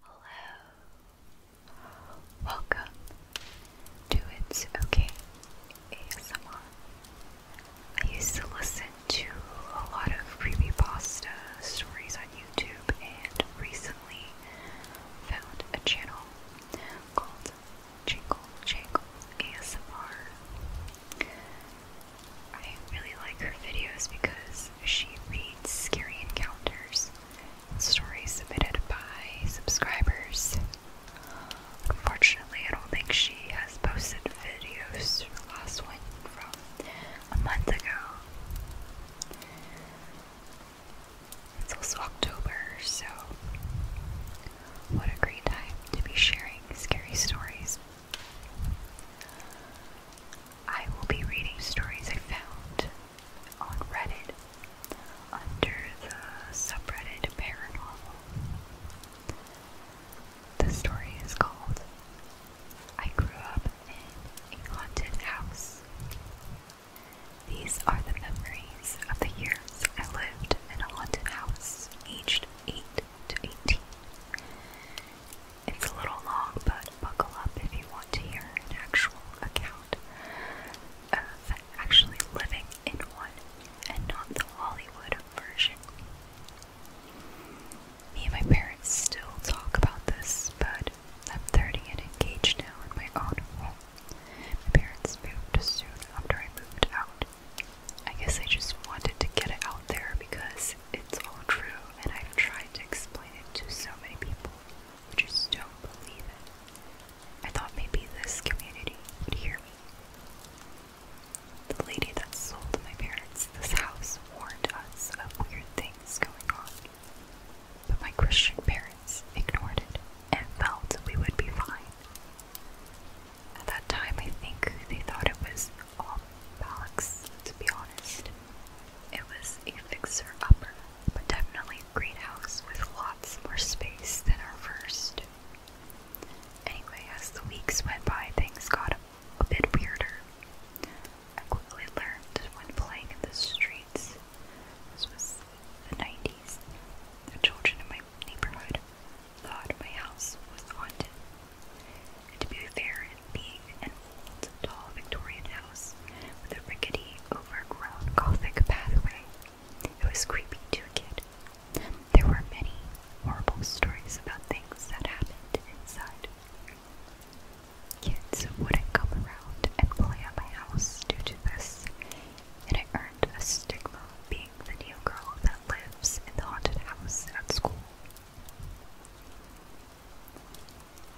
Hello. Welcome to It's Okay ASMR. I used to listen to a lot of creepy pasta stories on YouTube and recently found a channel called Jingle Jangle ASMR. I really like her videos because she reads scary encounters, stories submitted by subscribers. Unfortunately, I don't think she has posted videos. Her last one from a month ago. It's also October, so what a great time to be sharing scary stories I will be reading stories I found on Reddit under the subreddit paranormal. The story is called I Grew Up in a Haunted House. These are the memories of the years I lived in a haunted house aged 8 to 18. It's a little long, but buckle up if you want to hear an actual account of actually living in one and not the Hollywood version. Me and my parents still talk about this, but I'm 30 and engaged now in my own My parents moved soon after I moved out. I guess I just wanted to get it out there because it's all true and I've tried to explain it to so many people who just don't believe it. I thought maybe this community would hear me. The lady that sold my parents this house warned us of weird things going on, but my Christian parents ignored it and felt we would be fine. At that time, I think they thought it was all bollocks, to be honest. It was a fixer upper, but definitely a greenhouse with lots more space than our first. Anyway, as the weeks went by, things got a bit weirder. I quickly learned when playing in the streets, this was the 90s, the children in my neighborhood thought my house was haunted. And to be fair, it being an old, tall Victorian house with a rickety, overgrown Gothic pathway, it was creepy to a kid. There were many horrible stories about things that happened inside. Kids wouldn't come around and play at my house due to this, and I earned a stigma of being the new girl that lives in the haunted house at school.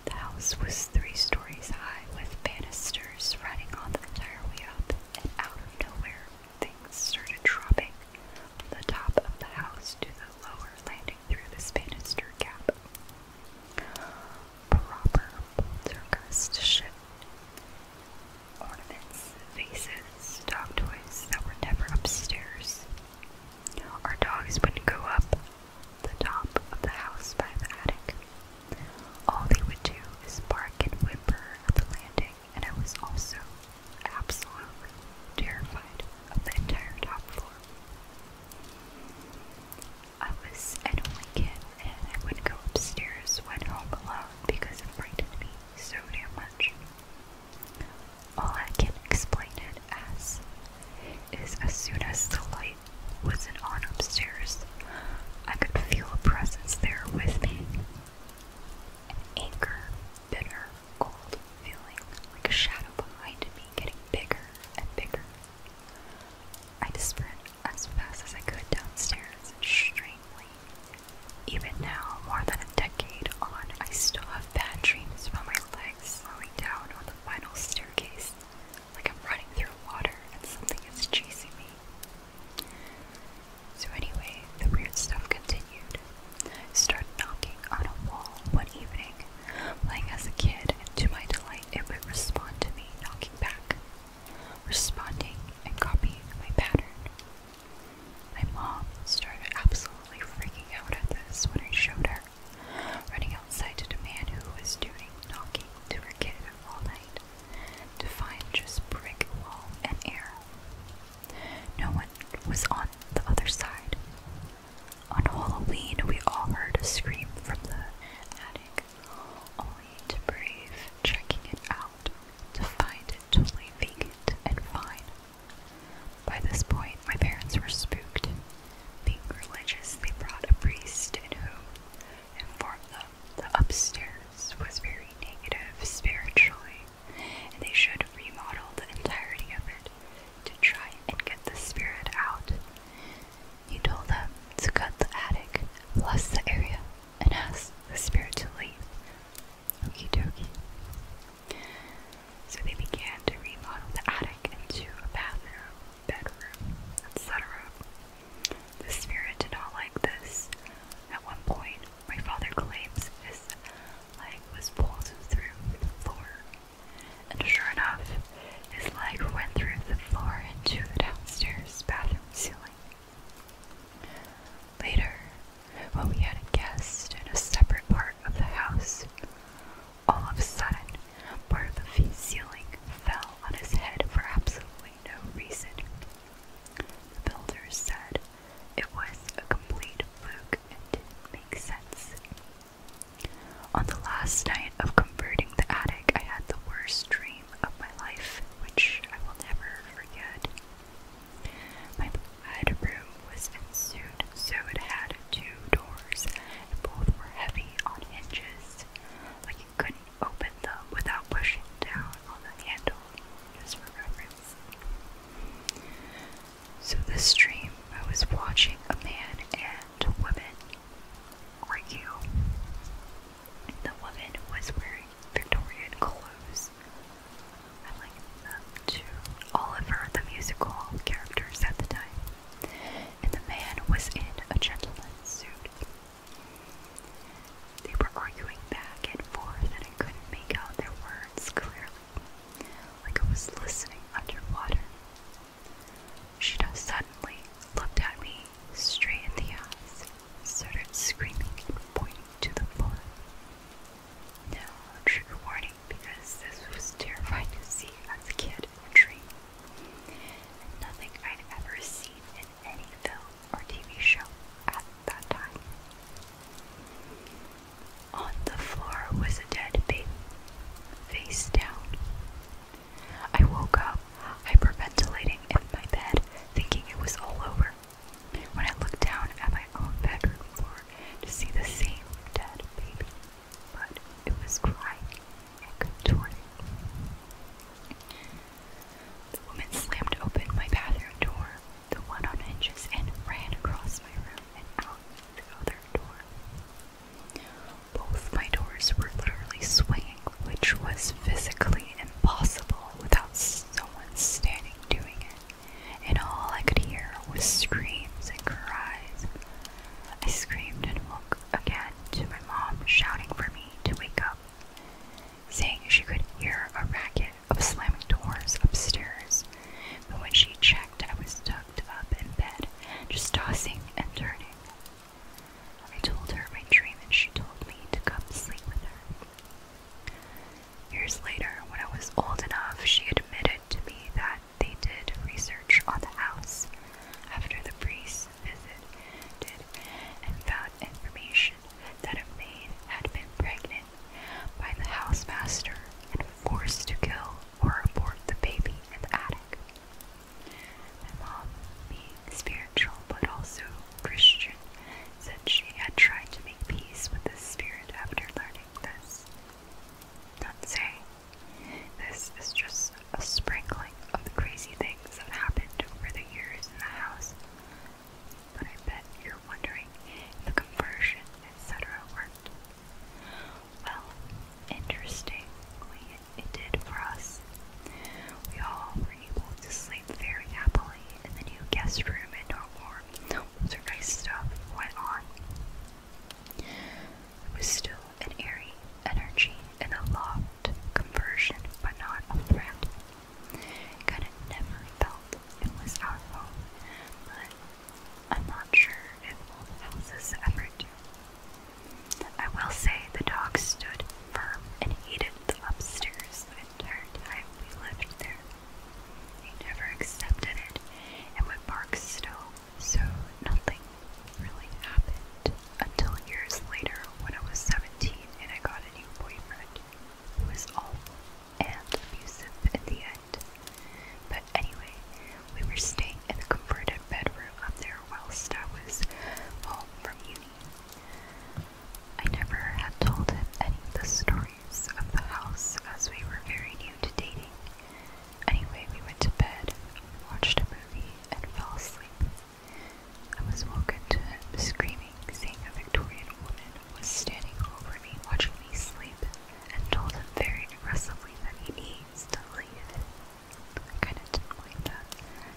The house was three stories high with banisters running on the entire way up, and out of nowhere, things started dropping from the top of the house to the lower, landing through this banister gap. Proper poltergeist shit ornaments, vases, dog toys that were never upstairs. Our dogs would not go up the top of the house by the attic. All they would do is bark and whimper at the landing, and I was also absolutely terrified of the entire top floor. I was an only kid, and I would not go upstairs when home alone because it frightened me so damn much. All I can explain it as is as soon as the light wasn't on upstairs, I could feel a presence there with me. An anchor, bitter, cold feeling like a shadow behind me getting bigger and bigger. I just as fast as I could downstairs, strangely. Even now, more than a decade on, I still have bad dreams about my legs slowing down on the final staircase, like I'm running through water and something is chasing me. So anyway, the weird stuff continued. I started knocking on a wall one evening, playing as a kid, and to my delight, it would respond to me knocking back responding and copying my pattern. My mom started absolutely freaking out at this when I showed her, running outside to the man who was doing knocking to her kid all night to find just brick wall and air. No one was on the other side. On Halloween, we all heard a scream from the attic only to brave checking it out to find it totally vacant and fine. By this point, my parents were spooked. Being religious, they brought a priest in who informed them the upstairs was very negative spiritually, and they should remodel the entirety of it to try and get the spirit out. You told them to cut the attic, bless the area, and ask the spirit to leave. Okie dokie. So they began to remodel the attic into a bathroom, bedroom, etc. The spirit did not like this. At one point, my father claims his leg was pulled through the floor and sure enough, his leg went through the floor into the downstairs bathroom ceiling. Later, when we had a guest in a separate part of the house, all of a sudden, part of the ceiling fell on his head for absolutely no reason. The builders said it was a complete fluke and didn't make sense. On the last night of converting the attic, I had the worst dream of my life, which I will never forget. My bedroom was ensued, so it had two doors, and both were heavy on hinges. Like you couldn't open them without pushing down on the handle, just for reference. So this dream, I was watching a man and a woman are you? The woman was wearing Victorian clothes. I likened them Oliver the musical characters at the time, and the man was in a gentleman's suit. They were arguing back and forth, and I couldn't make out their words clearly, like I was listening underwater. She Shido suddenly looked at me straight in the eyes, started screaming and pointing to the floor. No trigger warning because this was terrifying to see as a kid in a dream. nothing I'd ever seen in any film or TV show at that time. On the floor was a dead baby, face down. I woke up, hyperventilating in my bed, thinking it was all over. When I looked down at my own bedroom floor to see the same dead baby, but it was crying and contorting. The woman slammed open my bathroom door, the one on hinges, and ran across my room and out the other both my doors were literally swinging, which was physically impossible without someone standing doing it, and all I could hear was screams and cries. I screamed and woke again to my mom shouting for me to wake up, saying she could hear a racket of slamming doors upstairs, but when she checked, I was tucked up in bed, just tossing and turning. I told her my dream, and she told me to come sleep with her. Years later, when I was old enough, she admitted to me that they did research on the house after the priest visited and found information that a maid had been pregnant by the housemaster and forced to kill or abort the baby in the attic. My being spiritual but also Christian, said she had tried to make peace with the spirit after learning this. Not say, this is just a sprinkling of the crazy things that happened over the years in the house but I bet you're wondering if the conversion, etc., worked. Well, interestingly, it did for us. We all were able to sleep very happily in the new guest room and no more older stuff went on. It was still an airy energy and a loft conversion, but not a threat. Kind of never felt it was our fault, but I'm not sure if old houses ever do. I will say the dog stood firm and hated the upstairs the entire time we lived there. He never accepted it and would bark still, so nothing really happened until years later when I was 17 and I got a new boyfriend who was awful and abusive at the end. But anyway, we were staying in the converted bedroom up there whilst I was home from uni. I never had told him any of the stories of the house as we were very new to dating. Anyway, we went to bed, watched a movie, and fell asleep. I was woken to the screaming, saying a Victorian woman was standing over me, watching me sleep, and told him very aggressively that he needs to leave. I kinda did that.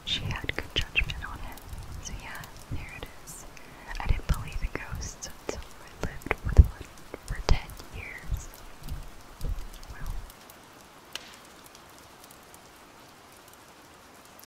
She had good judgment on him. So yeah, there it is. I didn't believe in ghosts until I lived with one for 10 years. Well.